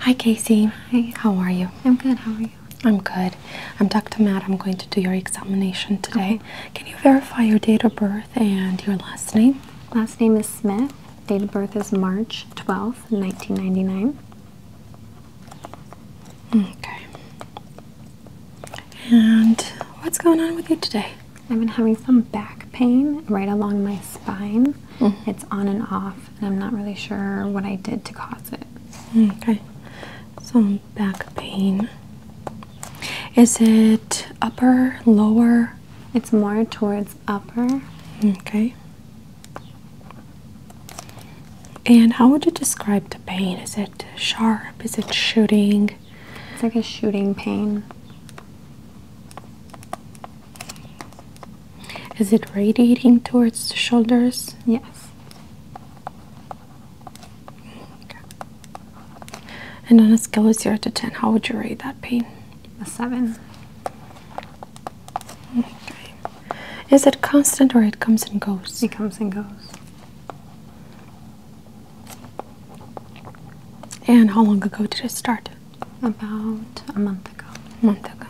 Hi Casey. Hey, how are you? I'm good. How are you? I'm good. I'm Dr. Matt. I'm going to do your examination today. Can you verify your date of birth and your last name? Last name is Smith. Date of birth is March 12th, 1999. Okay. And what's going on with you today? I've been having some back pain right along my spine. Mm-hmm. It's on and off and I'm not really sure what I did to cause it. Okay, some back pain. Is it upper, lower? It's more towards upper. Okay. And how would you describe the pain? Is it sharp? Is it shooting? It's like a shooting pain. Is it radiating towards the shoulders? Yes. And on a scale of 0 to 10, how would you rate that pain? A 7. Okay. Is it constant or it comes and goes? It comes and goes. And how long ago did it start? about a month ago. A month ago.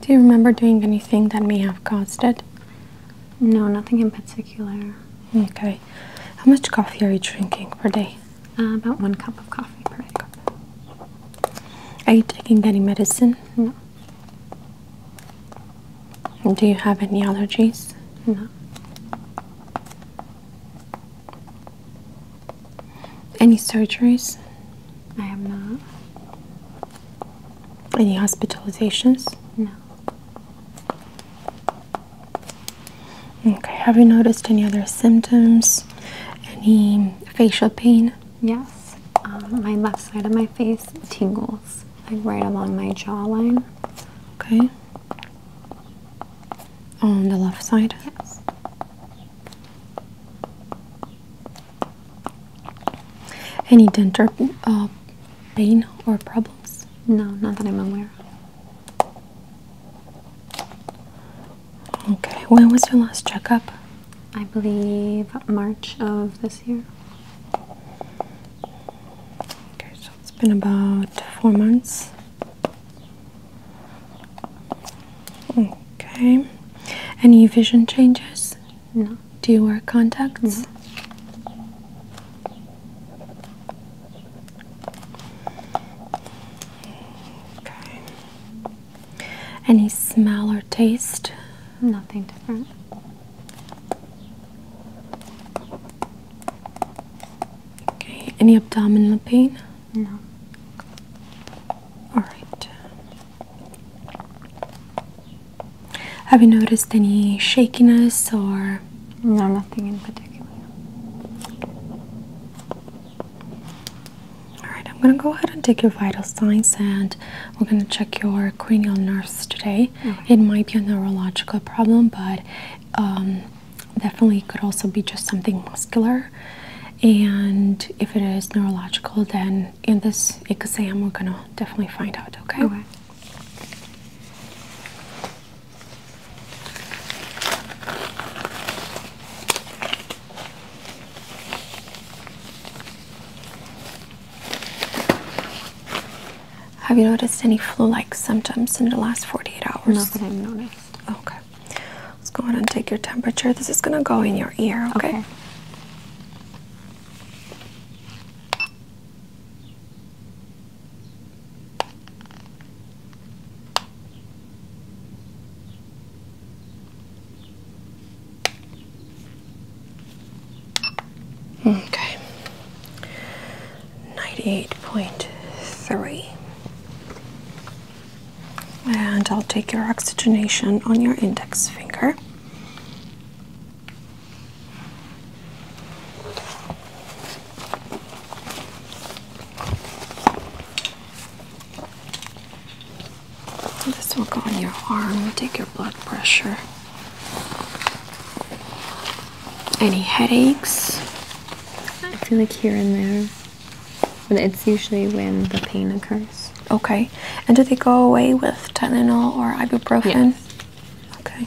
Do you remember doing anything that may have caused it? No, nothing in particular. Okay. How much coffee are you drinking per day? Uh, about one cup of coffee per day. Are you taking any medicine? No. Do you have any allergies? No. Any surgeries? I have not. Any hospitalizations? No. Okay, have you noticed any other symptoms? Any facial pain? Yes. Um, my left side of my face tingles, like right along my jawline. Okay. On the left side? Yes. Any dent or uh, pain or problems? No, not that I'm aware of. Okay, when was your last checkup? I believe March of this year. Okay, so it's been about four months. Okay. Any vision changes? No. Do you wear contacts? Okay. Any smell or taste? Nothing different. Okay. Any abdominal pain? No. Alright. Have you noticed any shakiness or. No, nothing in particular. Alright, I'm going to go ahead and take your vital signs and we're going to check your cranial nerves today. It might be a neurological problem, but um, definitely could also be just something muscular and if it is neurological then in this exam we're gonna definitely find out okay, Have you noticed any flu-like symptoms in the last 48 hours? Not that I've noticed. Okay. Let's go ahead and take your temperature. This is going to go in your ear, okay. Okay. 98.3. And I'll take your oxygenation on your index finger. This will go on your arm, we'll take your blood pressure. Any headaches? I feel like here and there it's usually when the pain occurs. Okay. And do they go away with Tylenol or ibuprofen? Yes. Okay.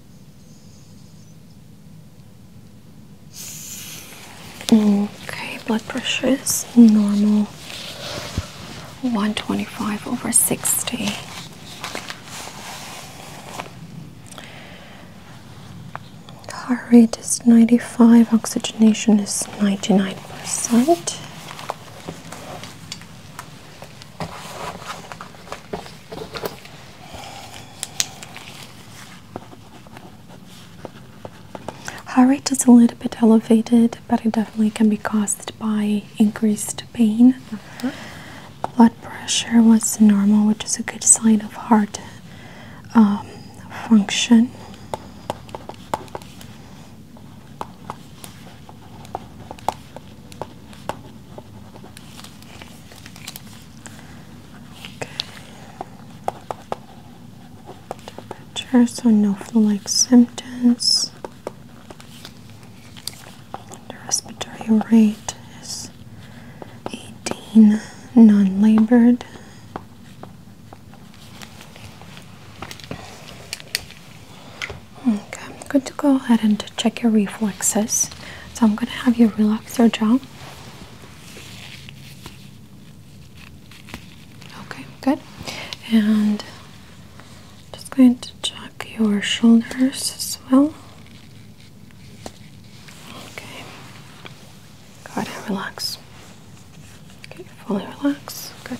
Okay, blood pressure is normal 125 over 60. Heart rate is 95, oxygenation is 99%. Heart rate is a little bit elevated, but it definitely can be caused by increased pain. Blood pressure was normal, which is a good sign of heart um, function. Temperature, so no flu-like symptoms. The respiratory rate is 18, non-labored. Okay, I'm going to go ahead and check your reflexes. So I'm going to have you relax your jaw. Okay, good. And just going to check your shoulders as well. Okay. Go and relax. Okay, fully relax. Good.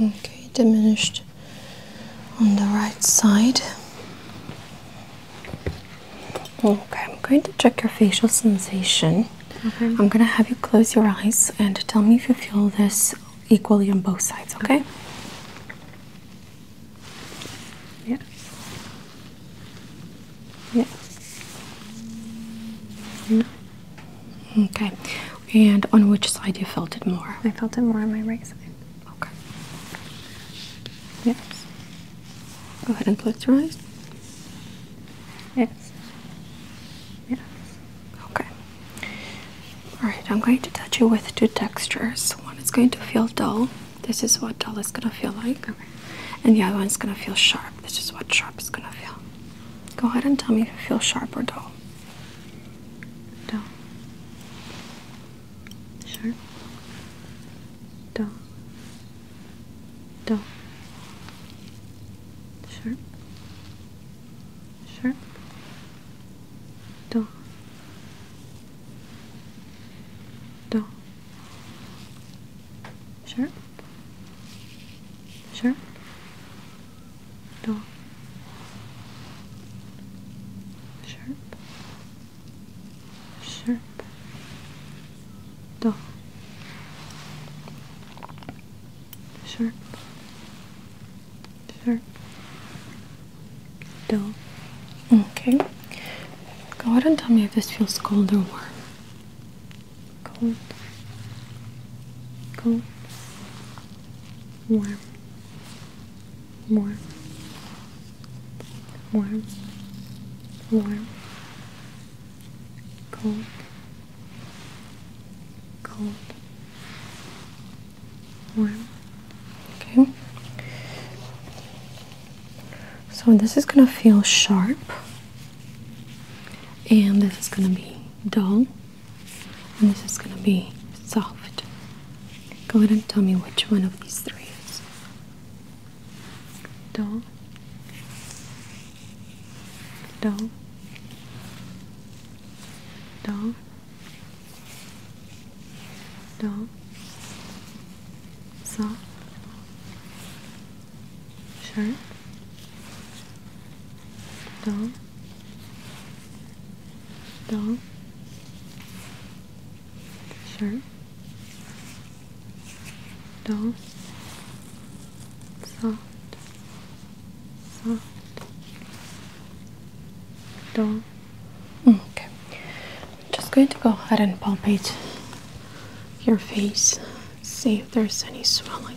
Okay, diminished on the right side. Okay, I'm going to check your facial sensation. I'm going to have you close your eyes and tell me if you feel this equally on both sides, okay. Yeah. Yeah. No. Mm-hmm. Okay. And on which side you felt it more? I felt it more on my right side. Okay. Yes. Go ahead and close your eyes. Yes. Yes. Okay. Alright, I'm going to touch you with two textures. One is going to feel dull. This is what dull is going to feel like. And the other one is going to feel sharp. This is what sharp is going to feel. Go ahead and tell me if you feel sharp or dull. Dull. Sharp. Dull. Dull. Sharp. Sharp do, do, sharp, sharp, do, sharp, sharp, do, sharp. Sure. Don't. Okay. Go ahead and tell me if this feels cold or warm. Cold. Cold. Warm. Warm. Warm. Warm. Cold. Cold warm. Okay. So this is gonna feel sharp, and this is gonna be dull, and this is gonna be soft. Go ahead and tell me which one of these three is dull, dull, dull dull, soft, sharp, dull, dull, sharp, dull, soft, soft, dull. Mm, okay. I'm just going to go ahead and palpate your face, see if there's any swelling.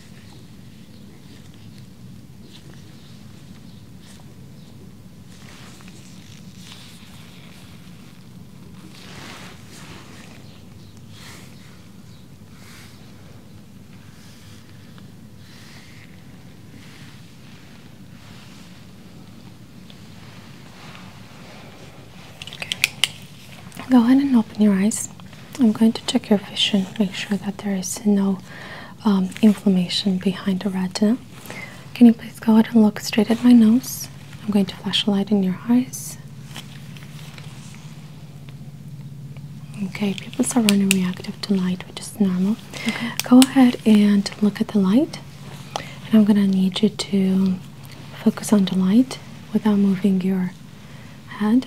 Go ahead and open your eyes. I'm going to check your vision, make sure that there is no um, inflammation behind the retina. Can you please go ahead and look straight at my nose? I'm going to flash a light in your eyes. Okay, People start running reactive to light, which is normal. Go ahead and look at the light, and I'm gonna need you to focus on the light without moving your head.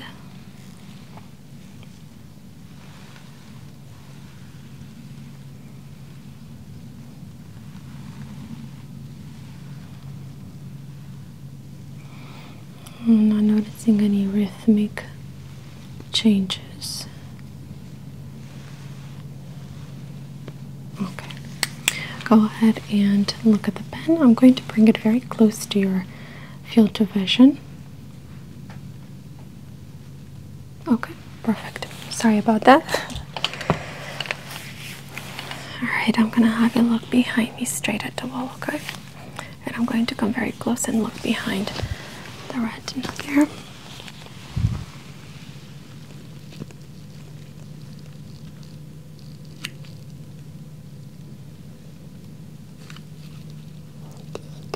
I'm not noticing any rhythmic changes. Okay, go ahead and look at the pen. I'm going to bring it very close to your field of vision. Okay, perfect. Sorry about that. Alright, I'm gonna have you look behind me straight at the wall, okay? And I'm going to come very close and look behind the retina here.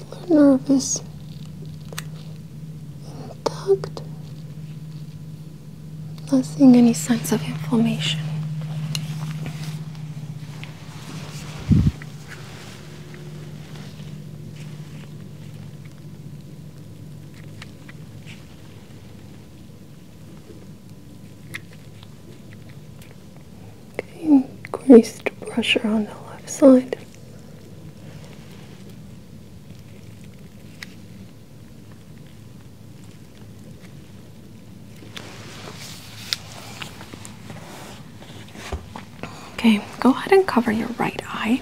The nerve intact. Not seeing any signs of inflammation. Okay, greased brusher on the left side. Okay, go ahead and cover your right eye.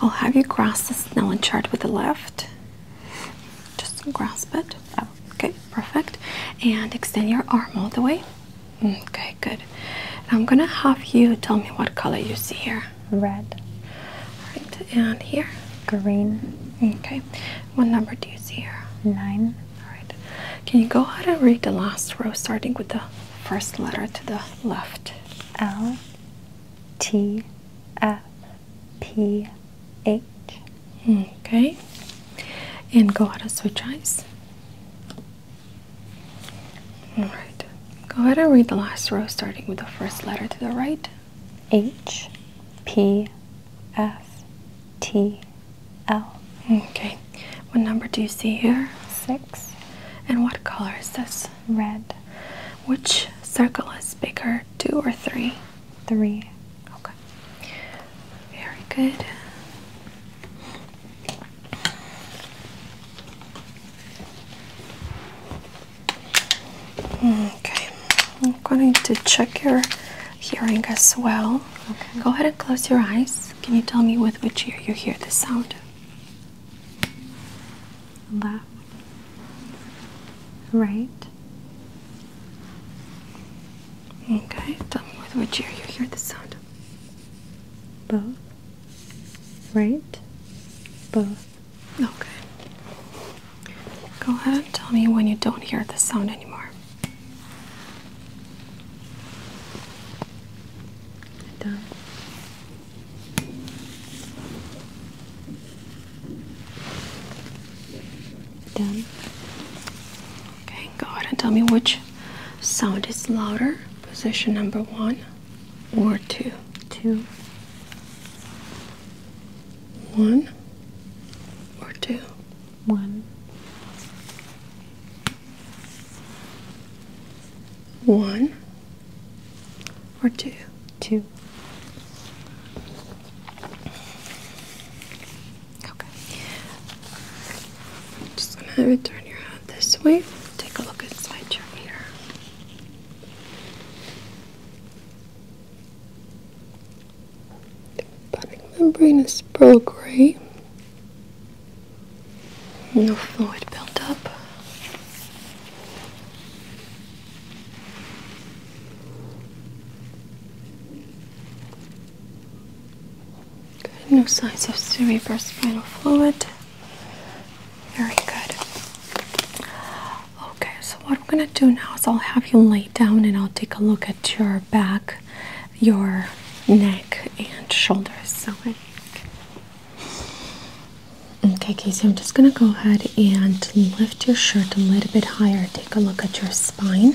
I'll have you grasp the Snellen chart with the left. Just grasp it. okay, perfect. And extend your arm all the way. Mm, okay, good. I'm gonna have you tell me what color you see here. Red. All right, and here? Green. Okay. What number do you see here? Nine. Alright. Can you go ahead and read the last row starting with the first letter to the left? L T F P H. Okay. And go ahead and switch eyes. Alright, go ahead and read the last row starting with the first letter to the right. H P F T L. Okay, what number do you see here? Six. And what color is this? Red. Which circle is bigger, two or three? Three. Okay, very good. Okay, I'm going to check your hearing as well. Go ahead and close your eyes. Can you tell me with which ear you hear the sound? Left, right. Okay, tell me with which ear you hear the sound both, right, both. Okay. Go ahead, and tell me when you don't hear the sound anymore. Done. Done. Okay, go ahead and tell me which sound is louder. Position number one or two. Two. One or two. One. One or two. Two. Okay. I'm just gonna turn your head this way. Take a look inside your ear. Putting membrane is pearl gray. No fluid built up. No signs of cerebrospinal fluid. Very good. Okay, so what I'm gonna do now is I'll have you lay down and I'll take a look at your back, your neck, and shoulders. Okay. Okay, Casey, I'm just gonna go ahead and lift your shirt a little bit higher. Take a look at your spine.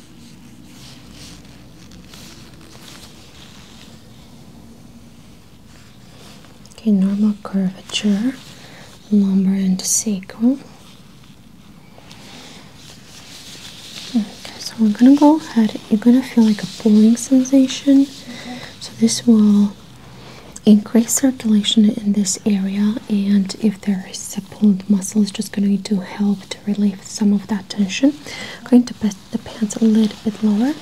Okay, normal curvature, lumbar and sacral. Okay, so we're gonna go ahead. You're gonna feel like a pulling sensation. So this will increase circulation in this area, and if there is a pulled muscle, it's just going to help to relieve some of that tension. going to pass the pants a little bit lower.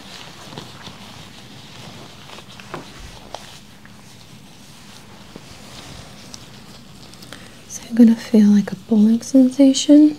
So you're gonna feel like a pulling sensation.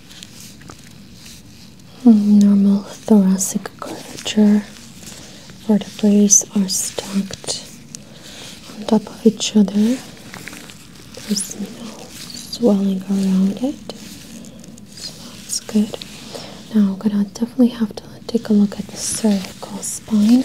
Hmm, normal thoracic curvature. Vertebrae are stacked on top of each other. There's no swelling around it, that's good. Now I'm gonna definitely have to take a look at the cervical spine.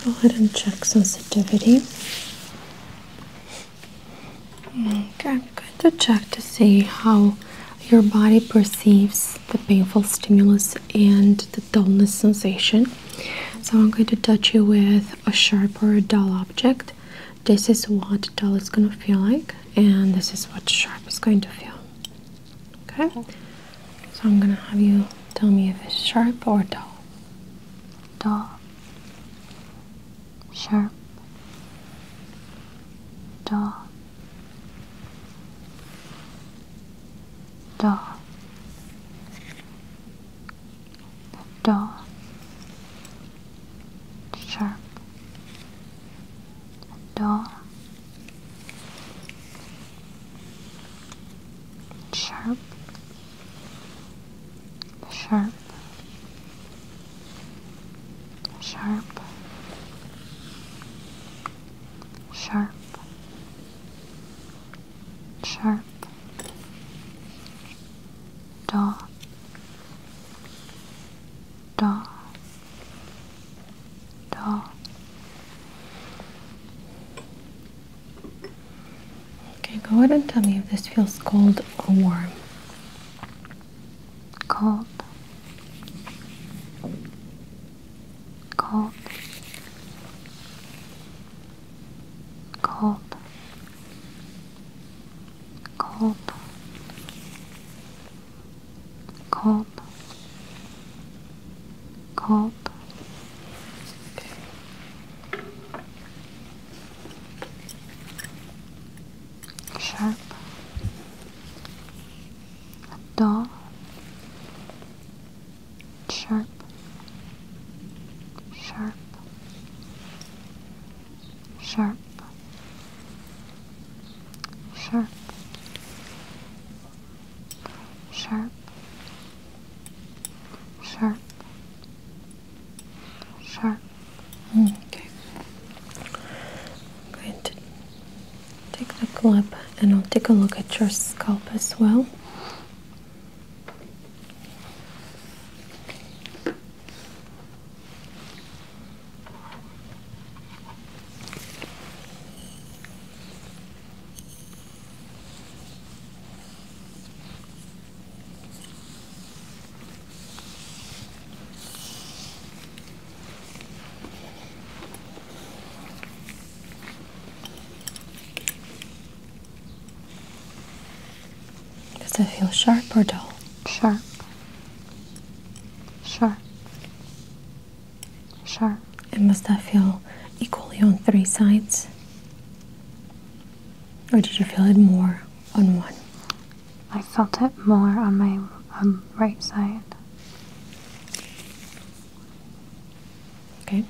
I'm going to go ahead and check sensitivity. Okay, I'm going to check to see how your body perceives the painful stimulus and the dullness sensation. So I'm going to touch you with a sharp or a dull object. This is what dull is going to feel like, and this is what sharp is going to feel. Okay? So I'm gonna have you tell me if it's sharp or dull. Dull. Sharp. Dull. Dull. Dull. Sharp. Dull sharp, sharp, sharp, sharp, sharp, dot, dot. 더 Okay, go ahead and tell me if this feels cold or warm. Cold. Cold. Cold. Cold. Cob, cob. Sharp. Dull. Sharp. Sharp. Sharp. Sharp sharp, sharp, sharp. Hmm, okay. I'm going to take the club and I'll take a look at your scalp as well. Does it feel sharp or dull? Sharp. Sharp. Sure. And must that feel equally on three sides? Or did you feel it more on one? I felt it more on my um, right side. Okay.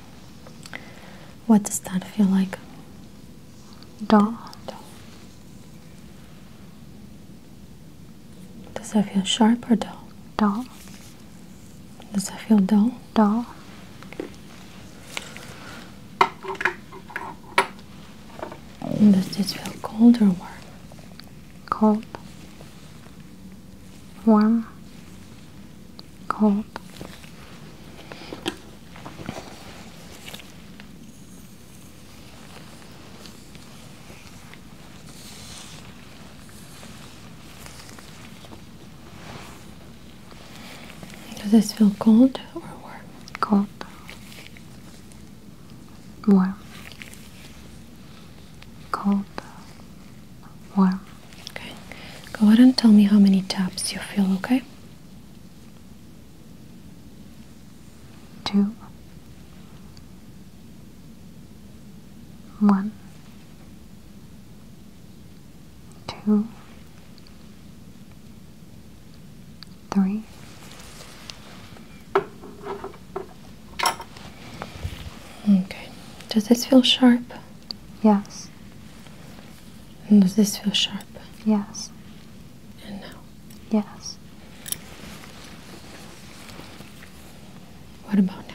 What does that feel like? Dull. Dull. Does that feel sharp or dull? Dull. Does that feel dull? Dull. Does this feel cold or warm? Cold. Warm. Cold. Does this feel cold or warm? Cold. Warm. Cold. Warm. Okay. Go ahead and tell me how many taps you feel, okay? Two. One, two, three, okay. Does this feel sharp? Yes. does this feel sharp? Yes. And now? Yes. What about now?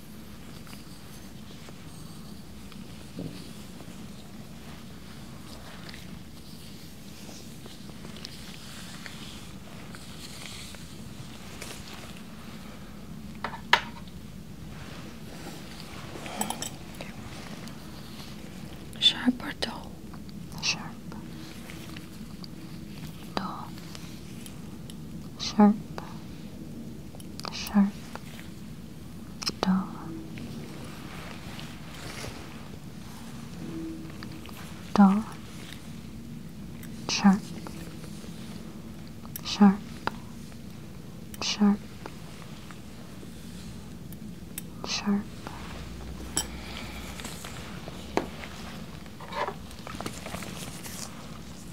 Sharp or dull? Sharp. Dull. Sharp. Sharp dull. Dull, sharp, sharp, sharp, sharp,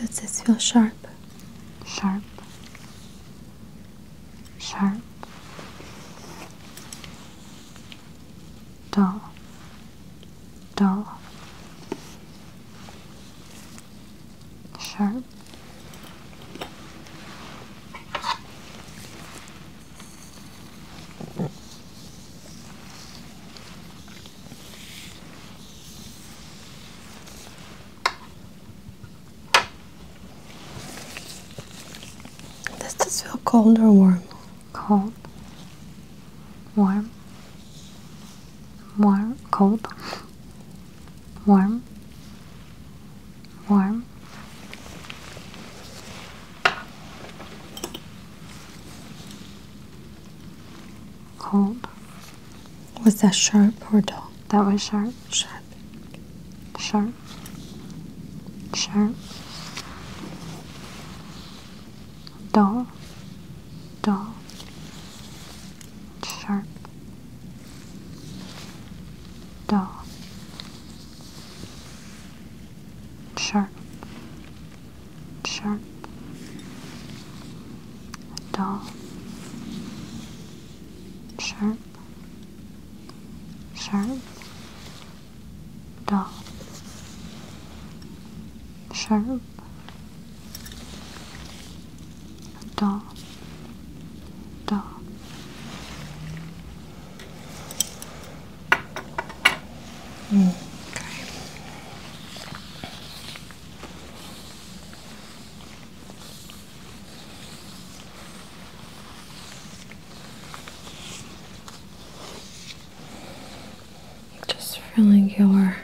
Does this feel sharp? Sharp. Sharp. Dull dull, sharp, Does this feel cold or warm? Cold warm, warm, cold, warm, warm. Cold. Was that sharp or dull? That was sharp. Sharp. Sharp. Sharp dull, dull, sharp, dull, sharp, sharp, dull, sharp, sharp, dull, sharp. だだうん Okay. Just feeling your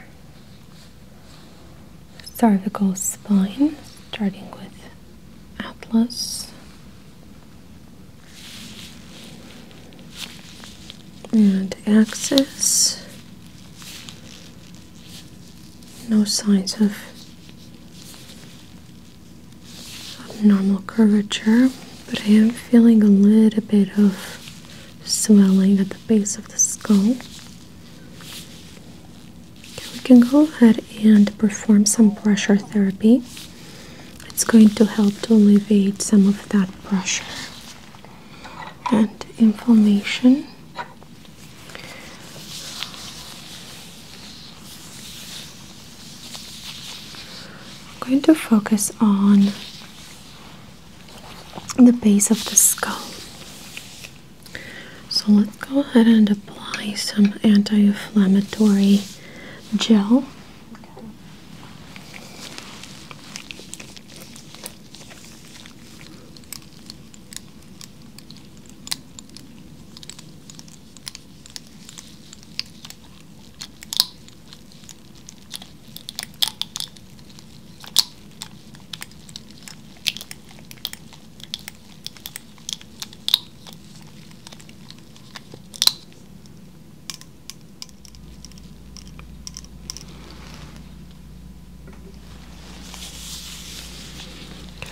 cervical spine, starting with atlas and axis. No signs of abnormal curvature, but I am feeling a little bit of swelling at the base of the skull. We can go ahead and perform some pressure therapy. It's going to help to alleviate some of that pressure and inflammation. I'm going to focus on the base of the skull. So let's go ahead and apply some anti-inflammatory gel.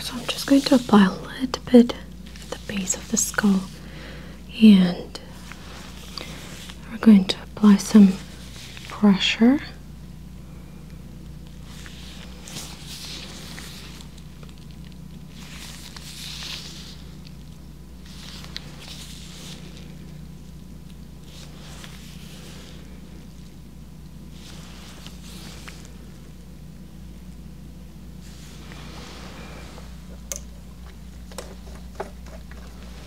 So I'm just going to apply a little bit at the base of the skull and we're going to apply some pressure.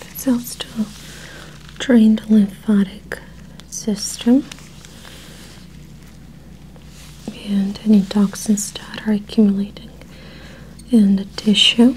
It helps to drain the lymphatic system and any toxins that are accumulating in the tissue.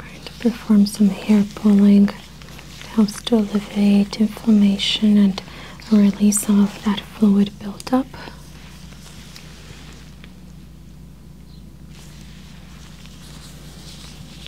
going to perform some hair pulling. It helps to alleviate inflammation and release some of that fluid buildup.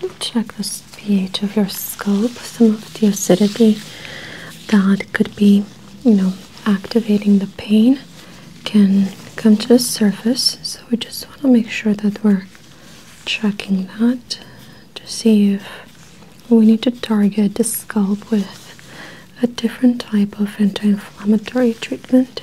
I'm check the pH of your scalp, some of the acidity that could be, you know, activating the pain can come to the surface. So we just want to make sure that we're checking that to see if we need to target the scalp with a different type of anti-inflammatory treatment.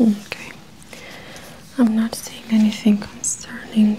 Okay, I'm not seeing anything concerning.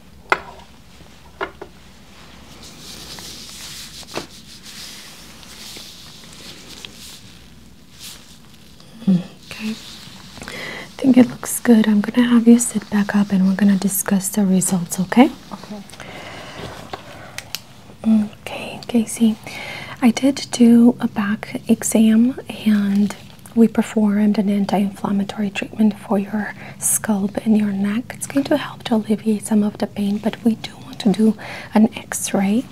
Okay, I think it looks good. I'm gonna have you sit back up and we're gonna discuss the results, okay? Okay. Okay, Casey. I did do a back exam and we performed an anti inflammatory treatment for your scalp and your neck. It's going to help to alleviate some of the pain, but we do want to do an x-ray.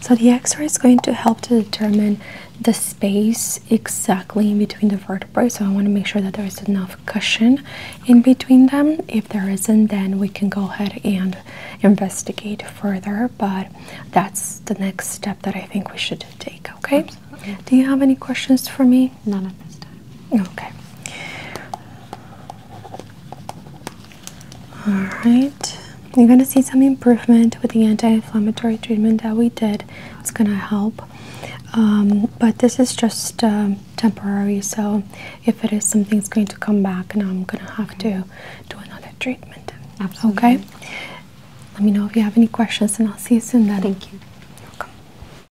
So the x-ray is going to help to determine the space exactly in between the vertebrae. So I want to make sure that there is enough cushion in between them. If there isn't, then we can go ahead and investigate further. But that's the next step that I think we should take. Okay. Do you have any questions for me? None at this time. Okay. All right. You're going to see some improvement with the anti-inflammatory treatment that we did. It's going to help. Um, but this is just um, temporary, so if it is something that's going to come back, and I'm going to have to do another treatment. Absolutely. Okay? Let me know if you have any questions, and I'll see you soon then. Thank you. You're welcome.